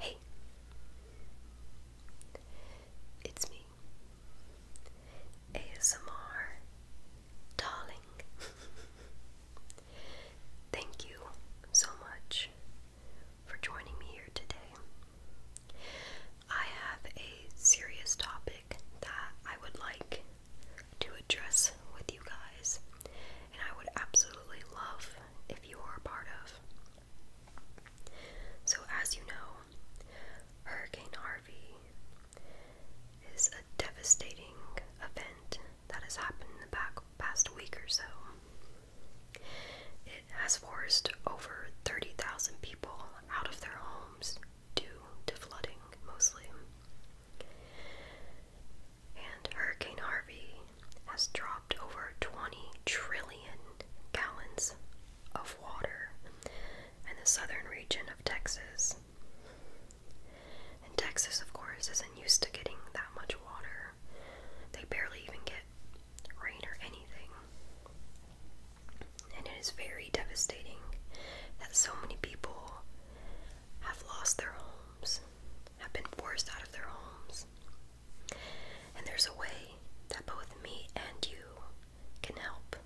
Hey, it's me, ASMR Darling. Thank you so much for joining me here today. I have a serious topic that I would like to address with you guys, and I would absolutely love if you are a part of. So, as you know, Hurricane Harvey is a devastating event that has happened in the past week or so. It has forced over 30,000 people out of their homes due to flooding mostly. And Hurricane Harvey has dropped over 20 trillion gallons of water in the southern region of Texas. And Texas, of course, isn't used to getting that much water. They barely even get rain or anything and it is very devastating that so many people have lost their homes, have been forced out of their homes. And there's a way that both me and you can help.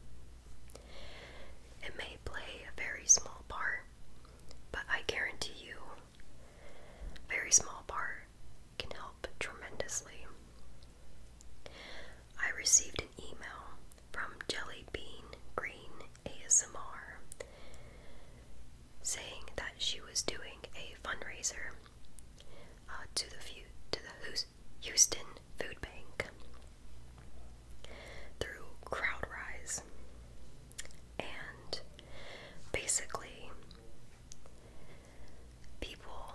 It may play a very small part, but I guarantee you, very small part can help tremendously. I received an email from Jelly Bean Green ASMR saying that she was doing a fundraiser uh, to the to the Houston Food Bank through CrowdRise, and basically people,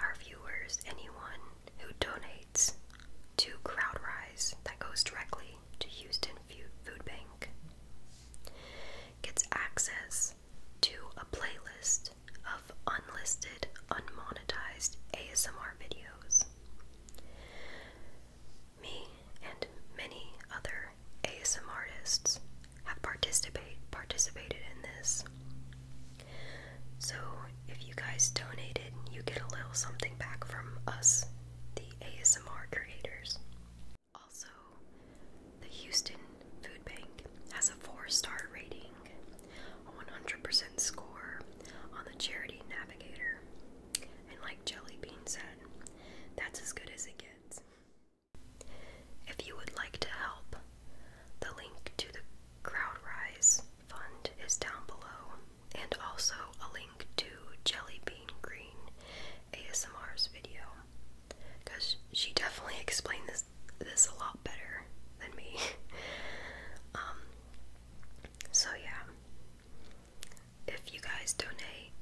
our viewers, anyone who donates to CrowdRise that goes directly to Houston Food Bank gets access to a playlist of unlisted, unmonetized ASMR videos. Me and many other ASMR artists have participate participated in this. So if you guys donated, you get a little something back from us, the ASMR creators. Also, the Houston Food Bank has a four-star rating, a 100% score on the Charity Navigator, and like Jelly Bean said, that's as good as it gets. If you would like to help, the link to the Crowdrise Fund is down below, and also a link to Jelly Bean Green ASMR's video, because she definitely explained this this a lot better than me. um, so yeah, if you guys donate,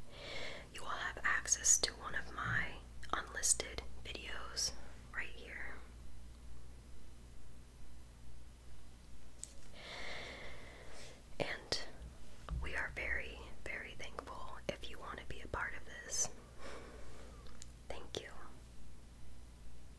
you will have access to one of my unlisted videos right here. And we are very, very thankful if you want to be a part of this. Thank you.